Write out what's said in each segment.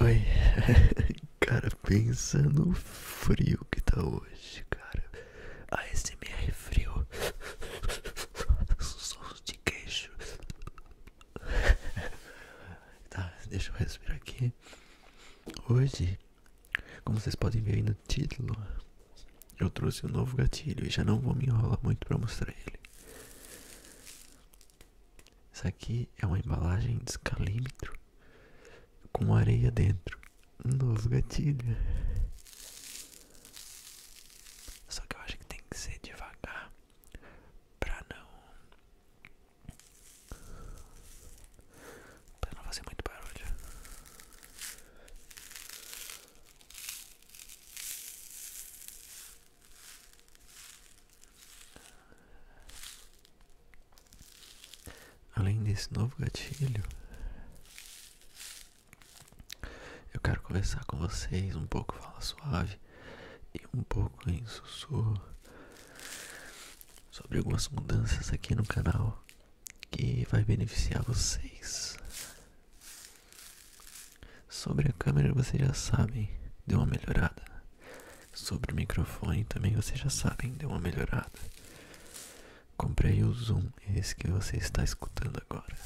Oi, cara, pensando no frio que tá hoje, cara. esse me frio. Sons de queixo. Tá, deixa eu respirar aqui. Hoje como vocês podem ver aí no título, eu trouxe um novo gatilho e já não vou me enrolar muito para mostrar ele. Isso aqui é uma embalagem de escalímetro com areia dentro. Um novo gatilho. Só que eu acho que tem que ser devagar pra não para não fazer muito barulho. Além desse novo gatilho, eu quero conversar com vocês um pouco fala suave e um pouco em sussurro sobre algumas mudanças aqui no canal que vai beneficiar vocês. Sobre a câmera vocês já sabem, deu uma melhorada. Sobre o microfone também você já sabem, deu uma melhorada. Comprei o Zoom, esse que você está escutando agora.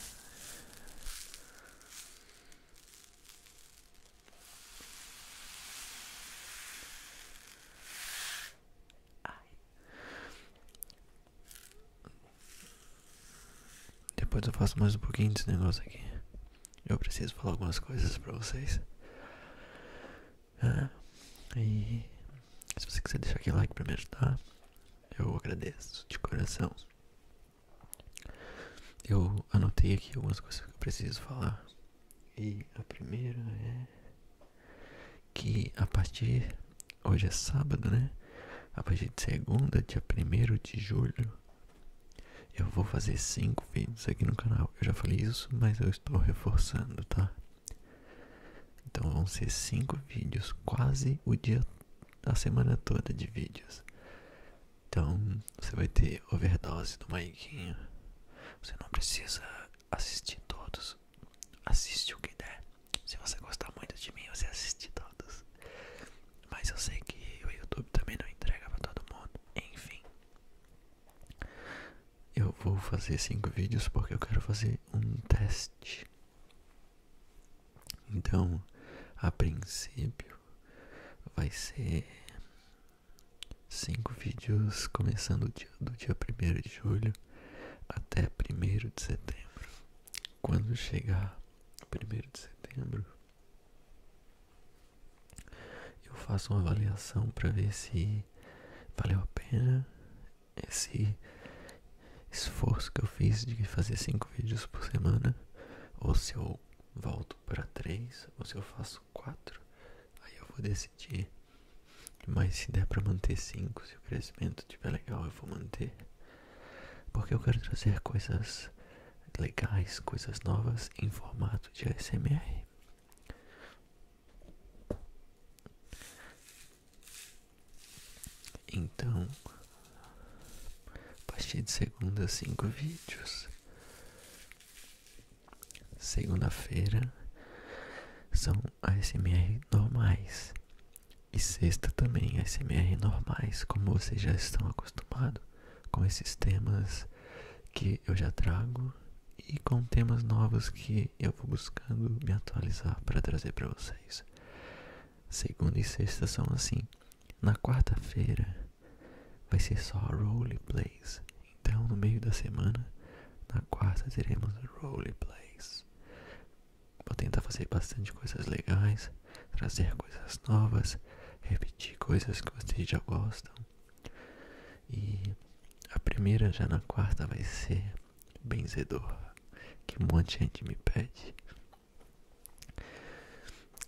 Depois eu faço mais um pouquinho desse negócio aqui. Eu preciso falar algumas coisas pra vocês. e ah, se você quiser deixar aquele like pra me ajudar, eu agradeço de coração. Eu anotei aqui algumas coisas que eu preciso falar e a primeira é que a partir hoje é sábado, né? A partir de segunda, dia 1 de julho, eu vou fazer cinco vídeos aqui no canal. Eu já falei isso, mas eu estou reforçando, tá? Então vão ser cinco vídeos, quase o dia a semana toda de vídeos. Então, você vai ter overdose do Maiquinho. Você não precisa assistir todos. Assiste o que der. Se você gostar muito de mim, você assiste todos. Mas eu sei que o YouTube também não entrega para todo mundo. Enfim. Eu vou fazer cinco vídeos porque eu quero fazer um teste. Então, a princípio vai ser Cinco vídeos começando do dia, do 1 de julho até 1 de setembro. Quando chegar 1 de setembro, eu faço uma avaliação para ver se valeu a pena esse esforço que eu fiz de fazer cinco vídeos por semana, ou se eu volto para três, ou se eu faço quatro. Aí eu vou decidir. Mas se der para manter 5, se o crescimento estiver legal, eu vou manter. Porque eu quero trazer coisas legais, coisas novas em formato de ASMR. Então, a partir de segunda, cinco vídeos. Segunda-feira são ASMR normais. E sexta também ASMR normais, como vocês já estão acostumados com esses temas que eu já trago e com temas novos que eu vou buscando me atualizar para trazer para vocês. Segunda e sexta são assim. Na quarta-feira vai ser só roleplays. Então, no meio da semana, na quarta, teremos roleplays. Vou tentar fazer bastante coisas legais, trazer coisas novas, repetir coisas que vocês já gostam. E a primeira, já na quarta, vai ser Benzedor, que um monte de gente me pede.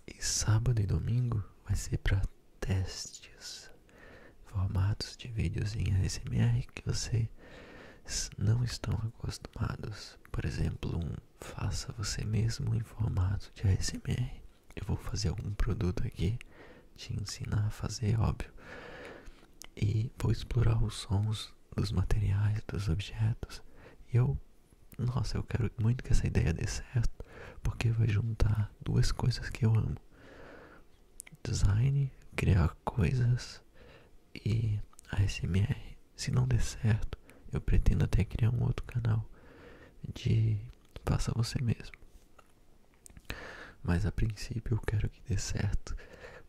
E sábado e domingo vai ser para testes, formatos de vídeos em ASMR que vocês não estão acostumados. Por exemplo, um faça você mesmo em formato de ASMR. Eu vou fazer algum produto aqui, te ensinar a fazer, óbvio. E vou explorar os sons dos materiais, dos objetos. E eu, nossa, eu quero muito que essa ideia dê certo, porque vai juntar duas coisas que eu amo design, criar coisas e ASMR. Se não der certo, eu pretendo até criar um outro canal de faça você mesmo. Mas a princípio eu quero que dê certo,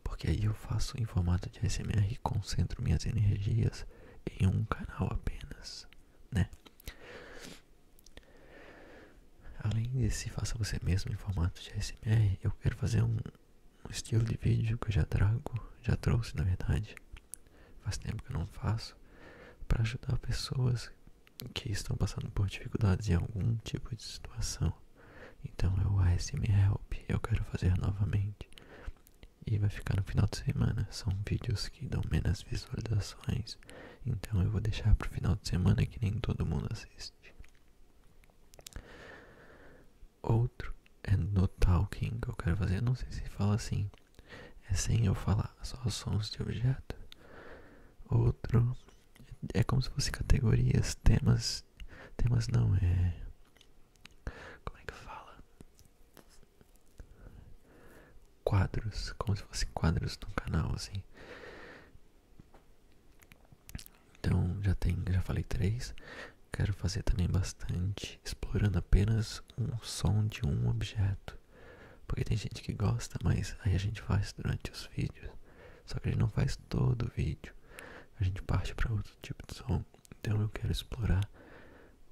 porque aí eu faço em formato de ASMR e concentro minhas energias em um canal apenas, né? Além desse faça você mesmo em formato de ASMR, eu quero fazer um, estilo de vídeo que eu já trago, já trouxe na verdade, faz tempo que eu não faço, para ajudar pessoas que estão passando por dificuldades em algum tipo de situação. Então é o ASMR Help, eu quero fazer novamente. E vai ficar no final de semana. São vídeos que dão menos visualizações então eu vou deixar pro final de semana que nem todo mundo assiste. Outro é no talking que eu quero fazer. não sei se fala assim. É sem eu falar, só sons de objeto. Outro é como se fosse categorias, temas. Temas não, é. Como é que fala? quadros, como se fossem quadros no canal, assim. Então já tem, já falei três. Quero fazer também bastante explorando apenas um som de um objeto. Porque tem gente que gosta, mas aí a gente faz durante os vídeos. Só que a gente não faz todo o vídeo. A gente parte para outro tipo de som. Então eu quero explorar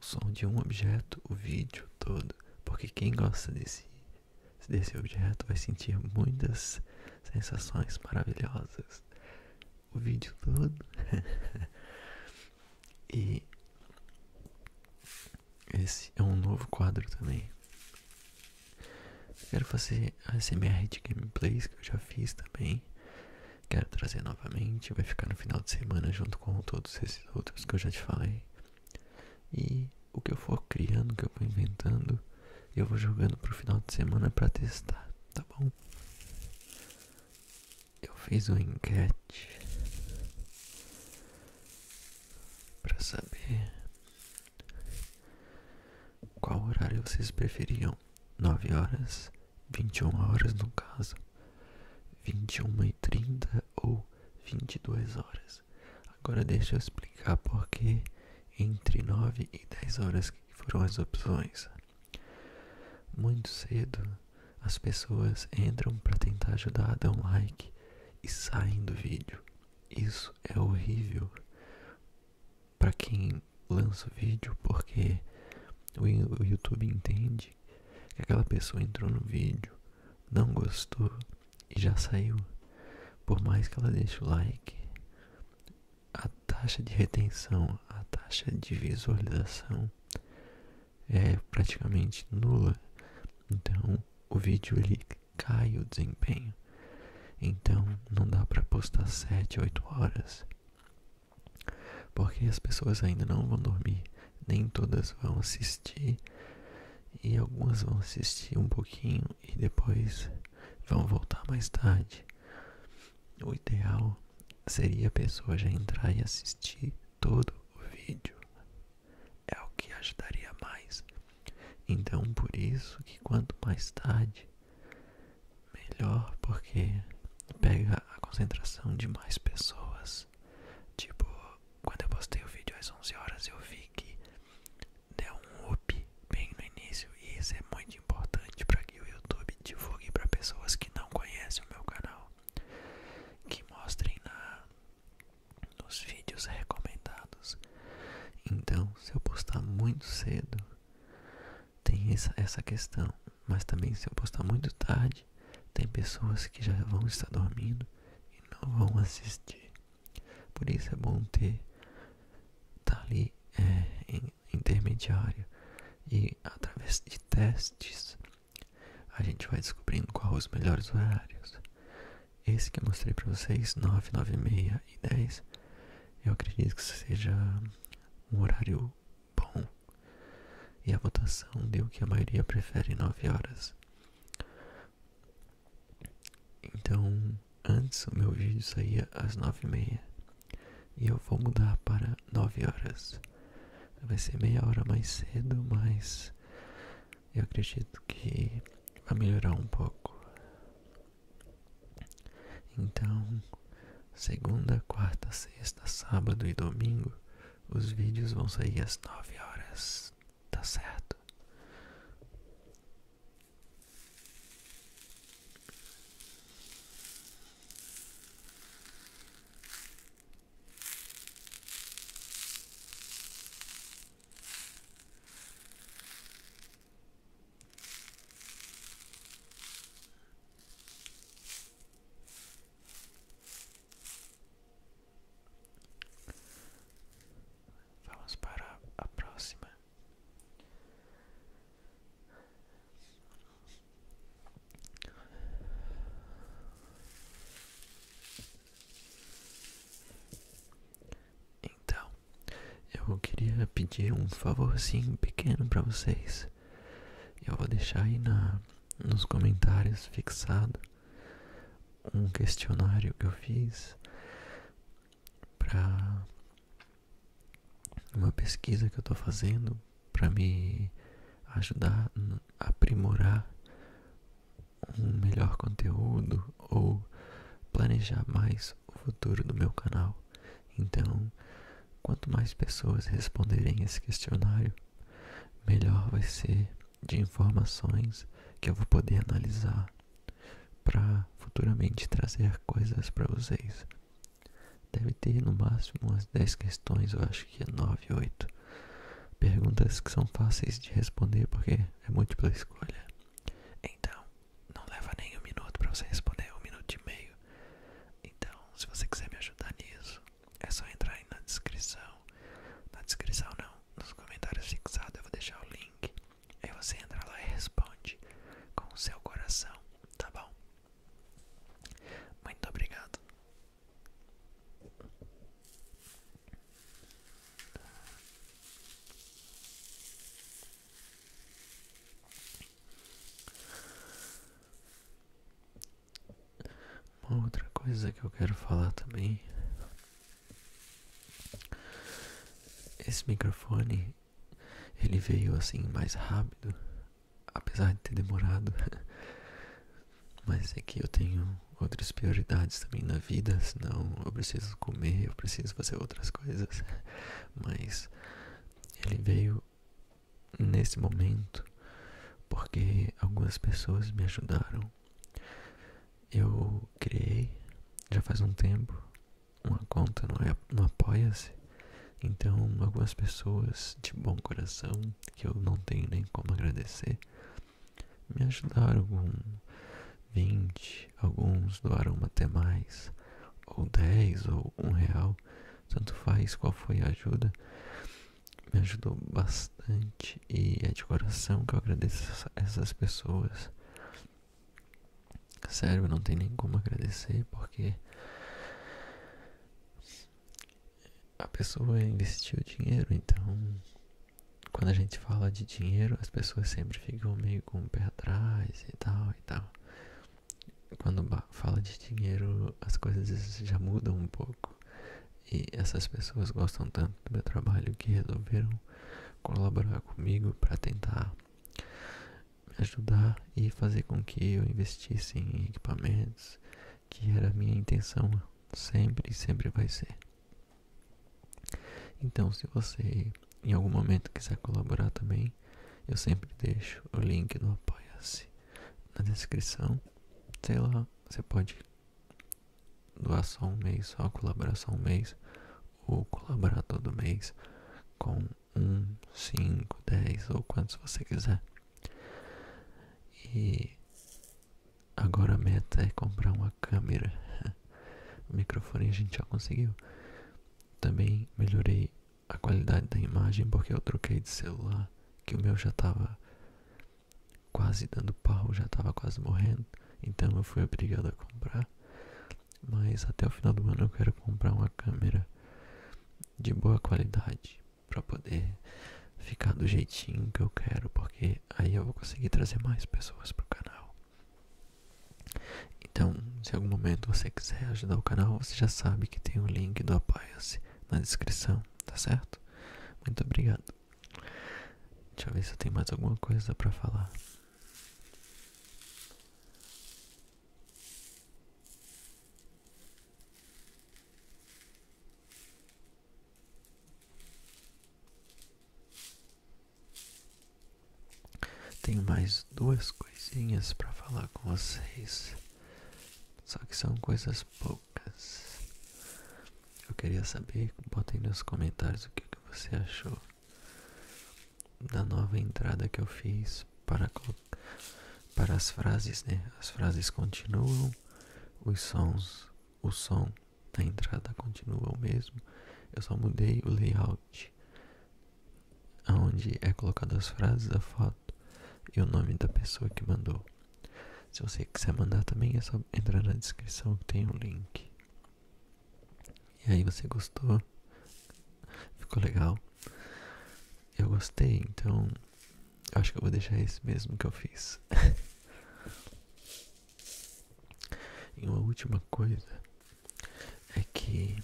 o som de um objeto, o vídeo todo. Porque quem gosta desse se descer objeto, vai sentir muitas sensações maravilhosas. O vídeo todo. e esse é um novo quadro também. Quero fazer a smr de gameplays que eu já fiz também. Quero trazer novamente. Vai ficar no final de semana junto com todos esses outros que eu já te falei. E o que eu for criando, o que eu for inventando, eu vou jogando pro final de semana para testar, tá bom? Eu fiz uma enquete para saber qual horário vocês preferiam. 9 horas, 21 horas no caso, 21 e 30 ou 22 horas. Agora deixa eu explicar por que entre 9 e 10 horas foram as opções. Muito cedo, as pessoas entram para tentar ajudar, dão like e saem do vídeo. Isso é horrível para quem lança o vídeo, porque o YouTube entende que aquela pessoa entrou no vídeo, não gostou e já saiu. Por mais que ela deixe o like, a taxa de retenção, a taxa de visualização é praticamente nula. Então, o vídeo ele cai o desempenho. Então, não dá para postar 7, 8 horas. Porque as pessoas ainda não vão dormir, nem todas vão assistir e algumas vão assistir um pouquinho e depois vão voltar mais tarde. O ideal seria a pessoa já entrar e assistir todo o vídeo. É o que ajudaria mais. Então, por isso que quanto mais tarde, melhor, porque pega a concentração de mais pessoas. Tipo, quando eu postei o vídeo às 11 horas, eu vi que dê um up bem no início e isso é muito importante para que o YouTube divulgue para pessoas que não conhecem o meu canal, que mostrem na, nos vídeos recomendados. Então, se eu postar muito cedo, tem essa, essa questão, mas também se eu postar muito tarde, tem pessoas que já vão estar dormindo e não vão assistir. Por isso é bom ter tá ali é, em, intermediário e através de testes a gente vai descobrindo qual os melhores horários. Esse que eu mostrei para vocês, 9, 9 6 e 10, eu acredito que seja um horário bom. E a votação deu que a maioria prefere 9 horas. Então, antes o meu vídeo saía às nove e meia e eu vou mudar para nove horas. Vai ser meia hora mais cedo, mas eu acredito que vai melhorar um pouco. Então, segunda, quarta, sexta, sábado e domingo, os vídeos vão sair às nove horas tá certo? Vamos para a próxima. Então, eu queria pedir um favorzinho pequeno para vocês. Eu vou deixar aí na, nos comentários fixado um questionário que eu fiz para uma pesquisa que eu estou fazendo para me ajudar a aprimorar um melhor conteúdo ou planejar mais o futuro do meu canal. Então, quanto mais pessoas responderem esse questionário, melhor vai ser de informações que eu vou poder analisar para futuramente trazer coisas para vocês. Deve ter no máximo umas 10 questões, eu acho que é 9, 8. Perguntas que são fáceis de responder porque é múltipla escolha. Então, não leva nem um minuto para você responder, um minuto e meio. Então, se você quiser me ajudar nisso, é só entrar aí na descrição. Na descrição não, nos comentários fixados eu vou deixar o link link. Aí você entra lá e responde com o seu coração, tá bom? Muito obrigado. Uma outra coisa que eu quero falar também esse microfone ele veio assim mais rápido, apesar de ter demorado. Mas é que eu tenho outras prioridades também na vida, senão eu preciso comer, eu preciso fazer outras coisas. Mas ele veio nesse momento porque algumas pessoas me ajudaram eu criei, já faz um tempo, uma conta no Apoia-se. Então, algumas pessoas de bom coração, que eu não tenho nem como agradecer, me ajudaram com 20, alguns doaram até mais, ou 10, ou um real, tanto faz qual foi a ajuda, me ajudou bastante e é de coração que eu agradeço essas pessoas. Sério, não tem nem como agradecer porque a pessoa investiu dinheiro, então quando a gente fala de dinheiro, as pessoas sempre ficam meio com o pé atrás e tal e tal. Quando fala de dinheiro, as coisas já mudam um pouco. E essas pessoas gostam tanto do meu trabalho que resolveram colaborar comigo para tentar me ajudar e fazer com que eu investisse em equipamentos, que era a minha intenção sempre e sempre vai ser. Então, se você em algum momento quiser colaborar também, eu sempre deixo o link do Apoia-se na descrição. Sei lá, você pode doação um mês, só colaboração um mês, ou colaborar todo mês com um, cinco, dez ou quantos você quiser. E agora a meta é comprar uma câmera. microfone a gente já conseguiu. Também melhorei a qualidade da imagem porque eu troquei de celular, que o meu já tava quase dando pau, já estava quase morrendo, então eu fui obrigado a comprar. Mas até o final do ano eu quero comprar uma câmera de boa qualidade para poder ficar do jeitinho que eu quero, porque aí eu vou conseguir trazer mais pessoas pro canal. Então, se algum momento você quiser ajudar o canal, você já sabe que tem o link do apoia na descrição, tá certo? Muito obrigado. Deixa eu ver se eu tenho mais alguma coisa para falar. Tenho mais duas coisinhas para falar com vocês, só que são coisas poucas. Eu queria saber, bota aí nos comentários o que, você achou da nova entrada que eu fiz para, para as frases, né? As frases continuam, os sons, o som da entrada continua o mesmo. Eu só mudei o layout, onde é colocado as frases, a foto e o nome da pessoa que mandou. Se você quiser mandar também, é só entrar na descrição que tem o link. E aí você gostou? Ficou legal? Eu gostei, então acho que eu vou deixar esse mesmo que eu fiz. e uma última coisa é que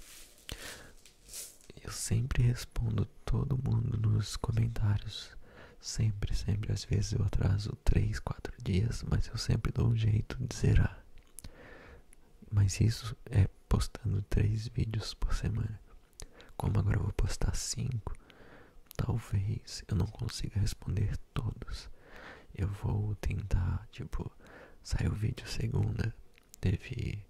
eu sempre respondo todo mundo nos comentários. Sempre, sempre. Às vezes eu atraso 3, 4 dias, mas eu sempre dou um jeito de zerar. Mas isso é postando três vídeos por semana. Como agora eu vou postar cinco, talvez eu não consiga responder todos. Eu vou tentar, tipo, saiu o vídeo segunda, teve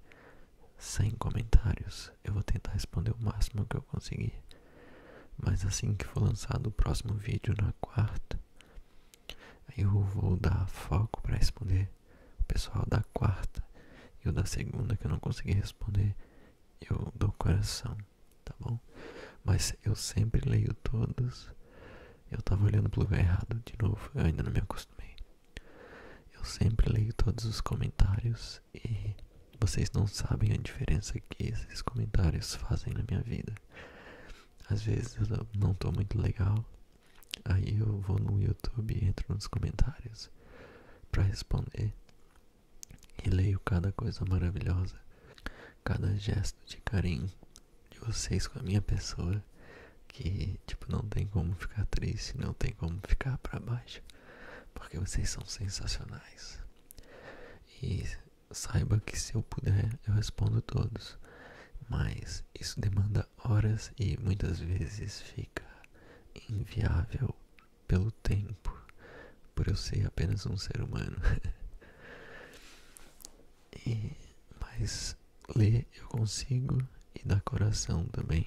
100 comentários. Eu vou tentar responder o máximo que eu conseguir. Mas assim que for lançado o próximo vídeo na quarta, eu vou dar foco para responder o pessoal da quarta e o da segunda que eu não consegui responder. Eu dou coração, tá bom? Mas eu sempre leio todos. Eu tava olhando para o lugar errado de novo, eu ainda não me acostumei. Eu sempre leio todos os comentários e vocês não sabem a diferença que esses comentários fazem na minha vida. Às vezes eu não tô muito legal, aí eu vou no YouTube e entro nos comentários para responder e leio cada coisa maravilhosa, cada gesto de carinho de vocês com a minha pessoa que tipo não tem como ficar triste, não tem como ficar para baixo, porque vocês são sensacionais. E Saiba que se eu puder, eu respondo todos, mas isso demanda horas e muitas vezes fica inviável pelo tempo, por eu ser apenas um ser humano. e, mas ler eu consigo e dar coração também.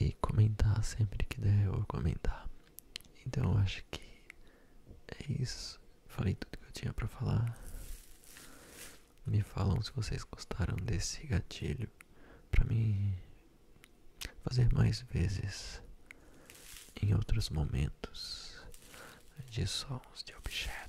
E comentar sempre que der, eu vou comentar. Então eu acho que é isso. Falei tudo que eu tinha para falar. Me falam se vocês gostaram desse gatilho para me fazer mais vezes em outros momentos de sons de objetos.